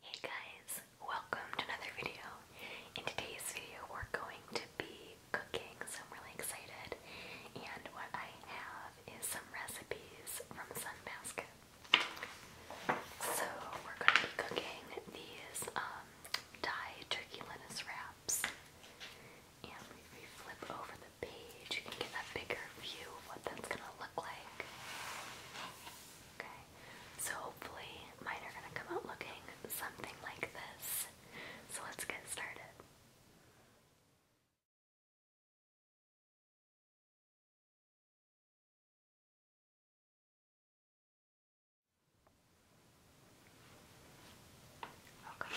Hey guys, welcome to another video. In today's video we're going to be cooking, so I'm really excited. And what I have is some recipes from Sunbasket. So we're going to be cooking these um, Thai turkey lettuce wraps. And if we flip over the page, you can get a bigger view of what that's going to look like. Okay so hopefully mine are gonna come out looking something like this. So let's get started. Okay.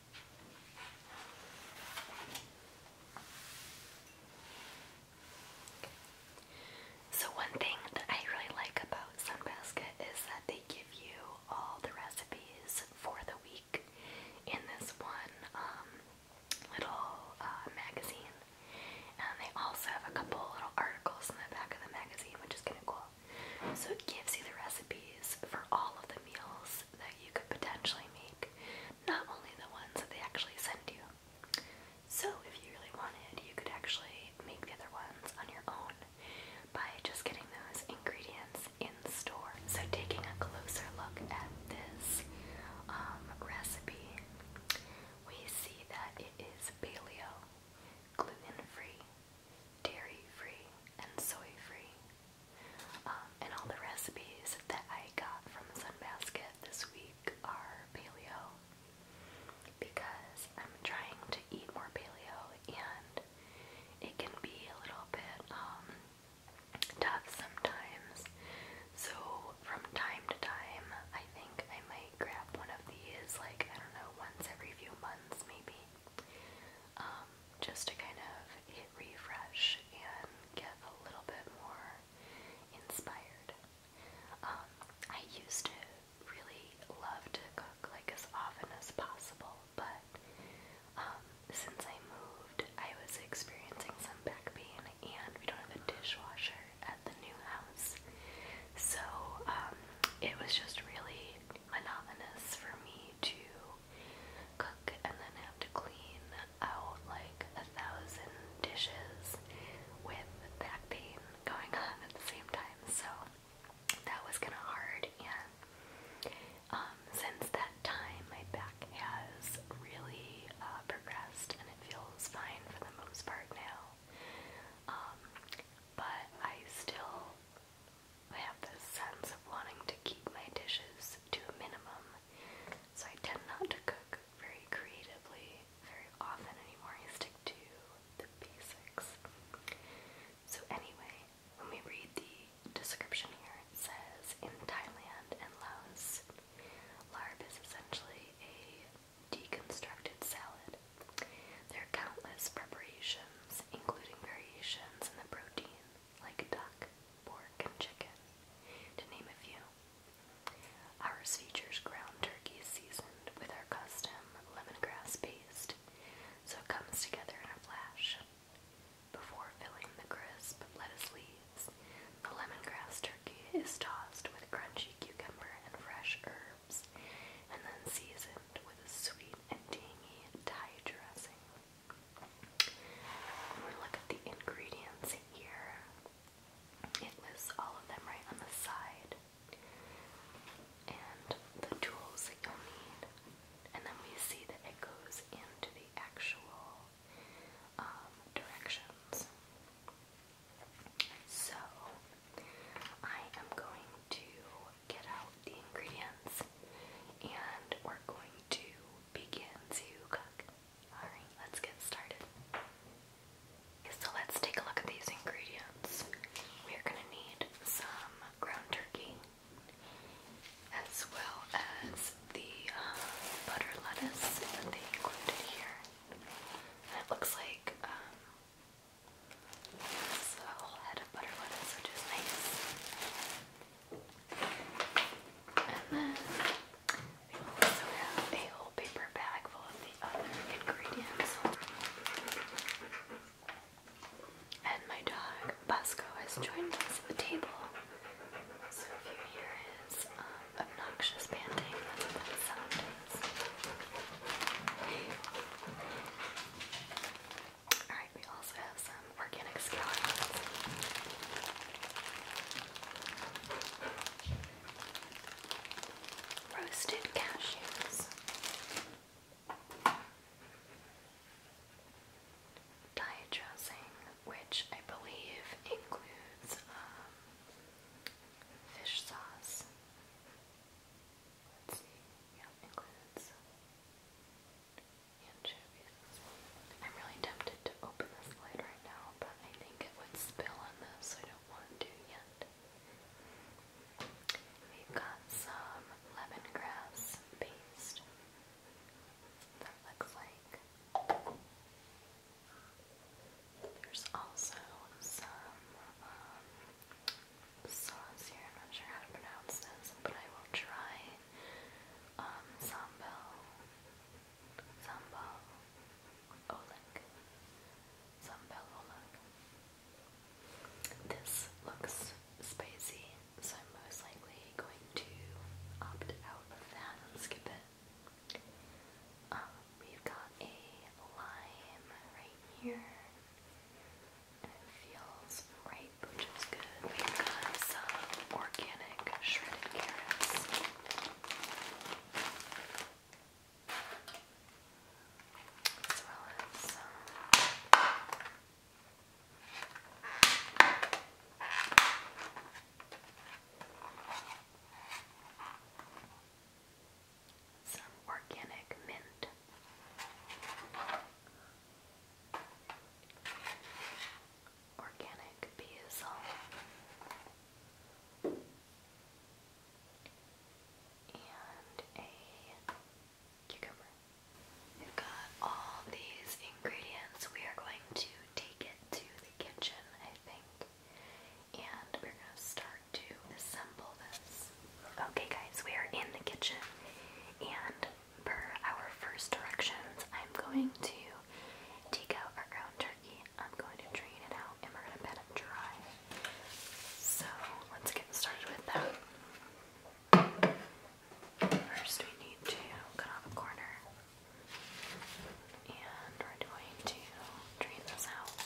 So one thing that I really like about Sunbasket is that they give you all the recipes for the week in this one um, little uh, magazine. And they also have a couple little articles in the back of the magazine, which is kind of cool. So it gives you the recipes for all of the meals that you could potentially make not only the ones that they actually send you. So, if you really wanted, you could actually make the other ones on your own by just getting those ingredients in store. So, taking a closer look at this um, recipe, we see that it is paleo, gluten free, dairy free, and soy free. Um, and all the recipes that I got from Sunbasket this week are paleo because I'm trying to eat more paleo and it can be a little bit um, tough sometimes. So from time to time, I think I might grab one of these, like I don't know, once every few months maybe, um, just to kind of refresh and get a little bit more inspired. Um, I used to really love to cook like as often as possible, but um, since I moved, I was experiencing some back pain, and we don't have a dishwasher at the new house, so um, it was just really monotonous for me to cook and then have to clean out like a thousand dishes with back pain going on at the same time. So that was kind of hard. And um, since that time, my back has really uh, progressed and it feels fine for the most part now. Um, but I still I have this sense of wanting to keep my dishes to a minimum so I tend not to cook very creatively very often anymore. I stick to the basics. So anyway, when we read the description here, it says in Thailand and Laos, larb is essentially a deconstructed salad. There are countless preparations, including variations in the protein like duck, pork, and chicken, to name a few. Ours features ground turkey seasoned with our custom lemongrass paste, so it comes together in a flash. Before filling the crisp lettuce leaves, the lemongrass turkey is tossed with crunchy cucumber and fresh herbs, and then seasoned with a sweet and tangy Thai dressing i look at the ingredients here. It lists all of them right on the side. And the tools that you'll need. And then we see that it goes into the actual um, directions. So, I am going to get out the ingredients and we're going to begin to cook. Alright, let's get started. So let's take a look at these ingredients. We're going to need some ground turkey as well as the um, butter lettuce that they included here. And it looks like um, it's a whole head of butter lettuce, which is nice. We also have a paper bag full of the other ingredients. And my dog, Bosco, has joined us at the table. So if you hear his um, obnoxious panting, that's what that sound is. Alright, we also have some organic skeletons. Roasted cashews. Diet dressing, which I believe includes um, fish sauce. Let's see, yeah, includes I'm really tempted to open this lid right now, but I think it would spill on this, I don't want to yet. We've got some lemongrass paste. That looks like. There's also some um, sauce here. I'm not sure how to pronounce this, but I will try um, sambal, sambal, oleg, sambal oleg. This looks spicy, so I'm most likely going to opt out of that and skip it. Um, we've got a lime right here. it feels right which is good. We've got some organic shredded carrots. As well as some organic mint organic basil. And a cucumber. We've got all these ingredients. We are going to take it to the kitchen, I think. And we're going to start to assemble this. Okay, guys, we are in the kitchen. And per our first directions, I'm going to take out our ground turkey. I'm going to drain it out and we're going to pat it dry. So let's get started with that. First, we need to cut off a corner and we're going to drain this out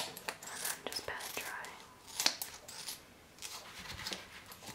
and then just pat it dry.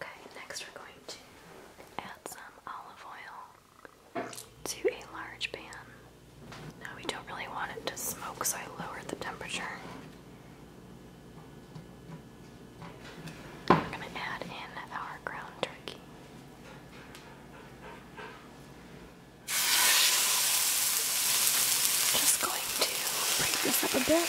Okay, next we're going to add some olive oil to a large pan. Now we don't really want it to smoke, so I lowered the temperature. We're going to add in our ground turkey. Just going going to break this up a bit.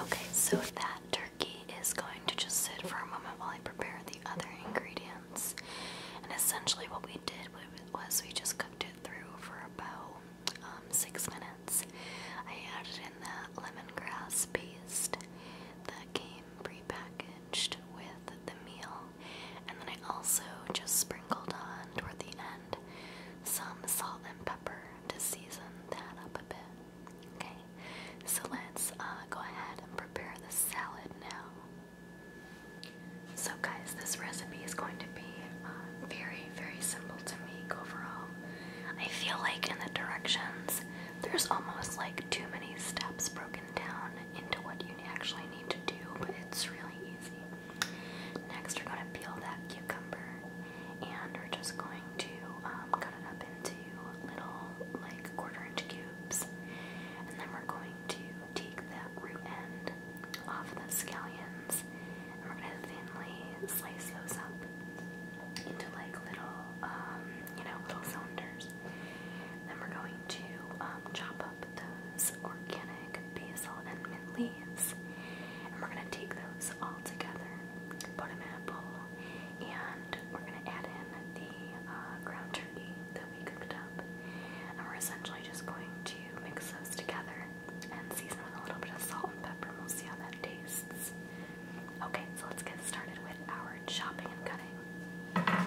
Okay, so that turkey is going to just sit for a moment while I prepare the other ingredients. And essentially, what we did was we just cooked it through for about um, six minutes. I added in that lemongrass paste that came prepackaged with the meal, and then I also just sprinkled on toward the end some salt and pepper to season that up a bit. Okay, so let's uh, go ahead and prepare the salad now. So, guys, this recipe is going to be uh, very, very simple to make overall. I feel like in the directions, there's almost like too many steps broken down into what you actually need to do, it's really easy. Next, we're going to peel that cucumber, and we're just going to um, cut it up into little, like, quarter-inch cubes, and then we're going to take that root end off the scallions, we're going to thinly slice those up into like little, um, you know, little cylinders. Then we're going to um, chop up those organic basil and mint leaves, and we're going to take those all together, put them in a bowl, and we're going to add in the uh, ground turkey that we cooked up. And we're essentially just going to mix those together and season with a little bit of salt and pepper, and we'll see how that tastes. Okay, so let's get started with our chopping and cutting.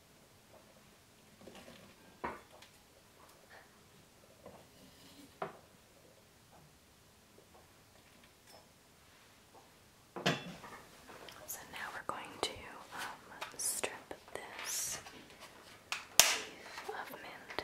So now we're going to um, strip this leaf of mint.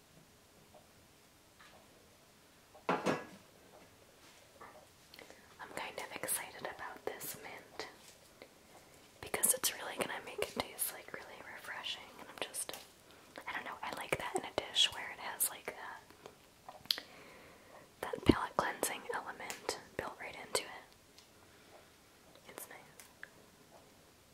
I'm kind of excited about this mint because it's really gonna make it taste like really refreshing and I'm just I don't know, I like that in a dish where it has like that uh, that palate cleansing element built right into it. It's nice.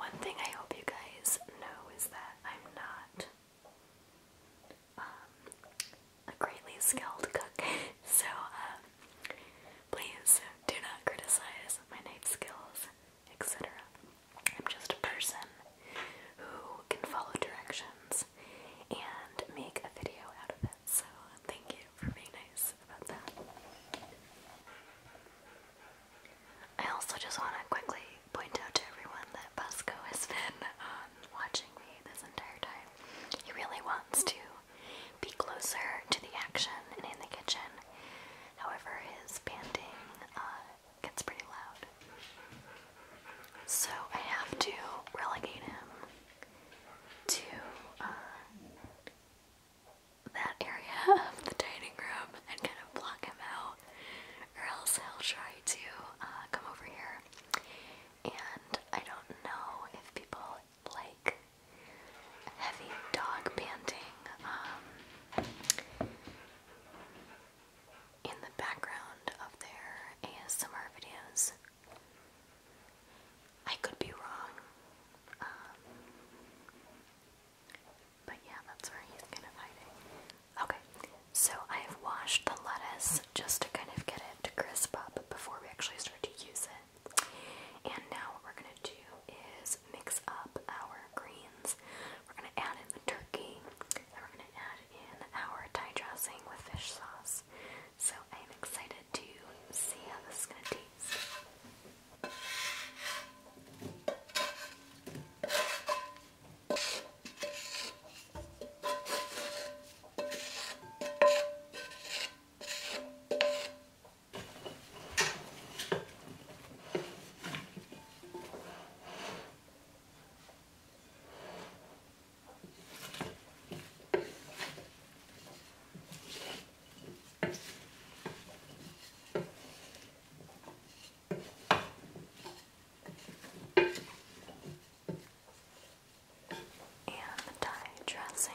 One thing I hope you guys know is that I'm not um, a greatly skilled cook, so um, please do not criticize my knife skills, etc. I'm just a person who can follow directions and make a video out of it. So thank you for being nice about that. I also just want to quickly point out to everyone that Busco has been um, watching me this entire time. He really wants to be closer to the action and in the kitchen. However, his panting uh, gets pretty loud. So I have to relegate him to uh, that area of the dining room and kind of block him out, or else he'll try to uh, come over here. And I don't know if people like heavy dog panting um, in the background of their ASMR videos. I could be wrong, um, but yeah, that's where he's kind of hiding. Okay, so I have washed the lettuce just to kind of get it to crisp up before we actually start to use it. And now what we're gonna do is mix up our greens. We're gonna add in the turkey, and we're gonna add in our Thai dressing with fish sauce. So I am excited to see how this is gonna taste. And the dressing.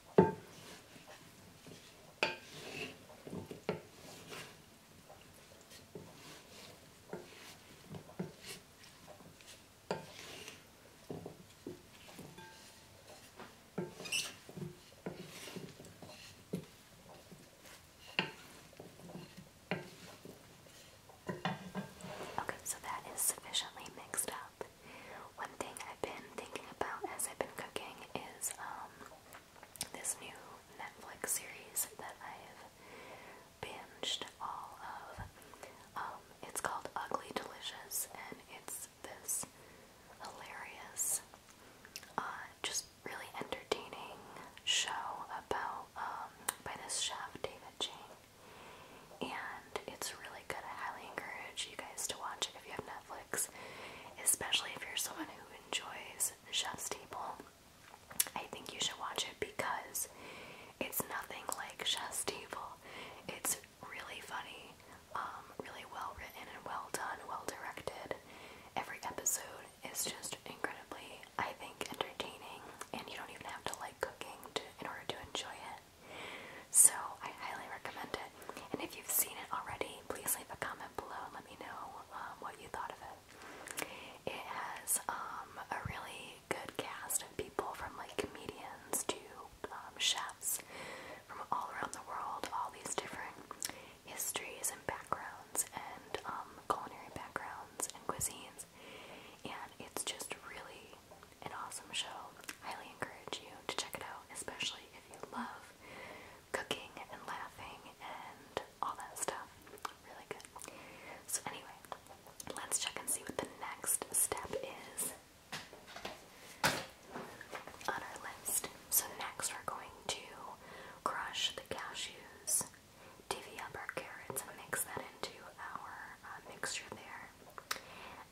Okay, so that is sufficiently mixed up. One thing I've been thinking about as I've been cooking is um, this new Netflix series that I've binged all of. Um, it's called Ugly Delicious, and it's this hilarious, uh, just really entertaining show about um, by this chef David Chang, and it's really good. I highly encourage you guys to watch it if you have Netflix, especially if you're someone who enjoys Chef's Table. I think you should watch it because it's nothing like Chef's Table. It's really funny, um, really well written and well done, well directed. Every episode is just incredibly, I think, entertaining, and you don't even have to like cooking to, in order to enjoy it. So I highly recommend it. And if you've seen it already, please leave a comment below and let me know um, what you thought of it. It has um, a really good cast of people from like comedians to um, chefs from all around the world, all these different histories and backgrounds and culinary backgrounds and cuisines. And it's just really an awesome show. Highly encourage you to check it out, especially if you love cooking and laughing and all that stuff. Really good. So, anyway, let's check and see what the next step is on our list. So, next we're going to crush the cashews, divvy up our carrots, and mix that into our uh, mixture there.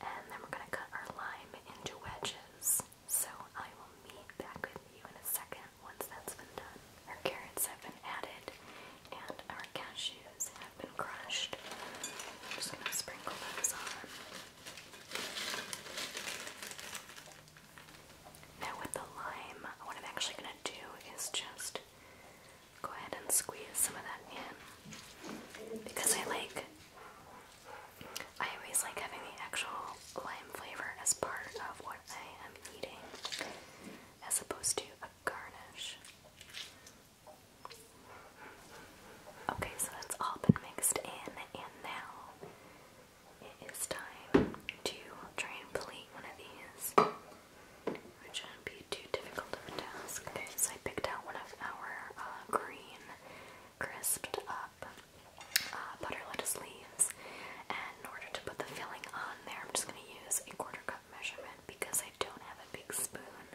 And then we're going to cut our lime into wedges. So I will meet back with you in a second once that's been done. Our carrots have been added and our cashews have been crushed. I'm just going to sprinkle those on. Now with the lime, what I'm actually going to do is just go ahead and squeeze some of that in because I like I always like having the actual lime flavor as part of what I am eating as opposed to a garnish. Okay, so that's all been mixed in, and now it is time to try and plate one of these, shouldn't be too difficult of a task. so I picked out one of our uh, green crisped up uh, butter lettuce leaves. And in order to put the filling on there, I'm just going to use a quarter cup measurement because I don't have a big spoon.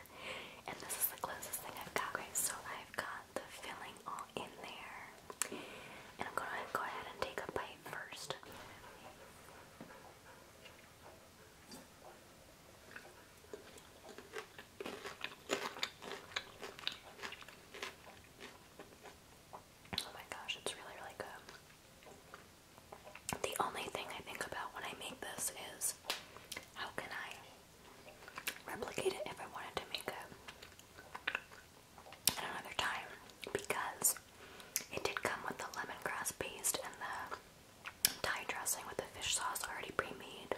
And this is the closest thing I've got, So I've got the filling all in there. And I'm going to go ahead and take a bite first. Oh my gosh, it's really, really good. The only thing I think about when I make this is how can I replicate it if I wanted to make it another time because it did come with the lemongrass paste and the Thai dressing with the fish sauce already pre-made,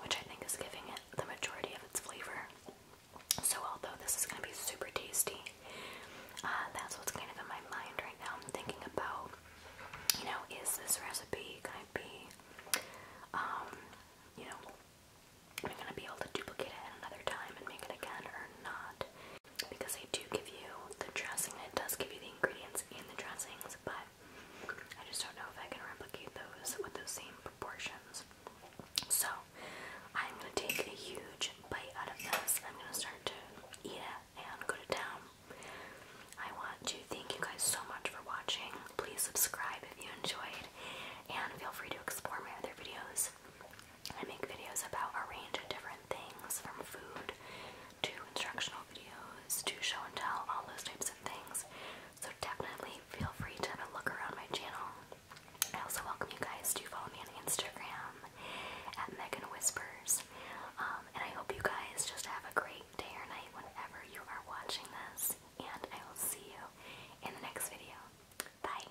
which I think is giving it the majority of its flavor. So although this is going to be super tasty, uh, that's what's kind of in my mind right now. I'm thinking about, you know, is this recipe going to be, um, you know, am I going to be able to duplicate it another time and make it again or not? Because they do give you the dressing, it does give you the ingredients in the dressings, but I just don't know if I can replicate those with those same proportions. So I'm gonna take a huge bite out of this. I'm gonna start to eat it and go to town. I want to thank you guys so much for watching. Please subscribe if you enjoyed, and feel free to explore my other videos. I make videos about a range of different things, from food to instructional videos to show and tell, all those types of things. So definitely feel free to have a look around my channel. I also welcome you guys to follow me on Instagram at Megan Whispers. Um, and I hope you guys just have a great day or night whenever you are watching this. And I will see you in the next video. Bye.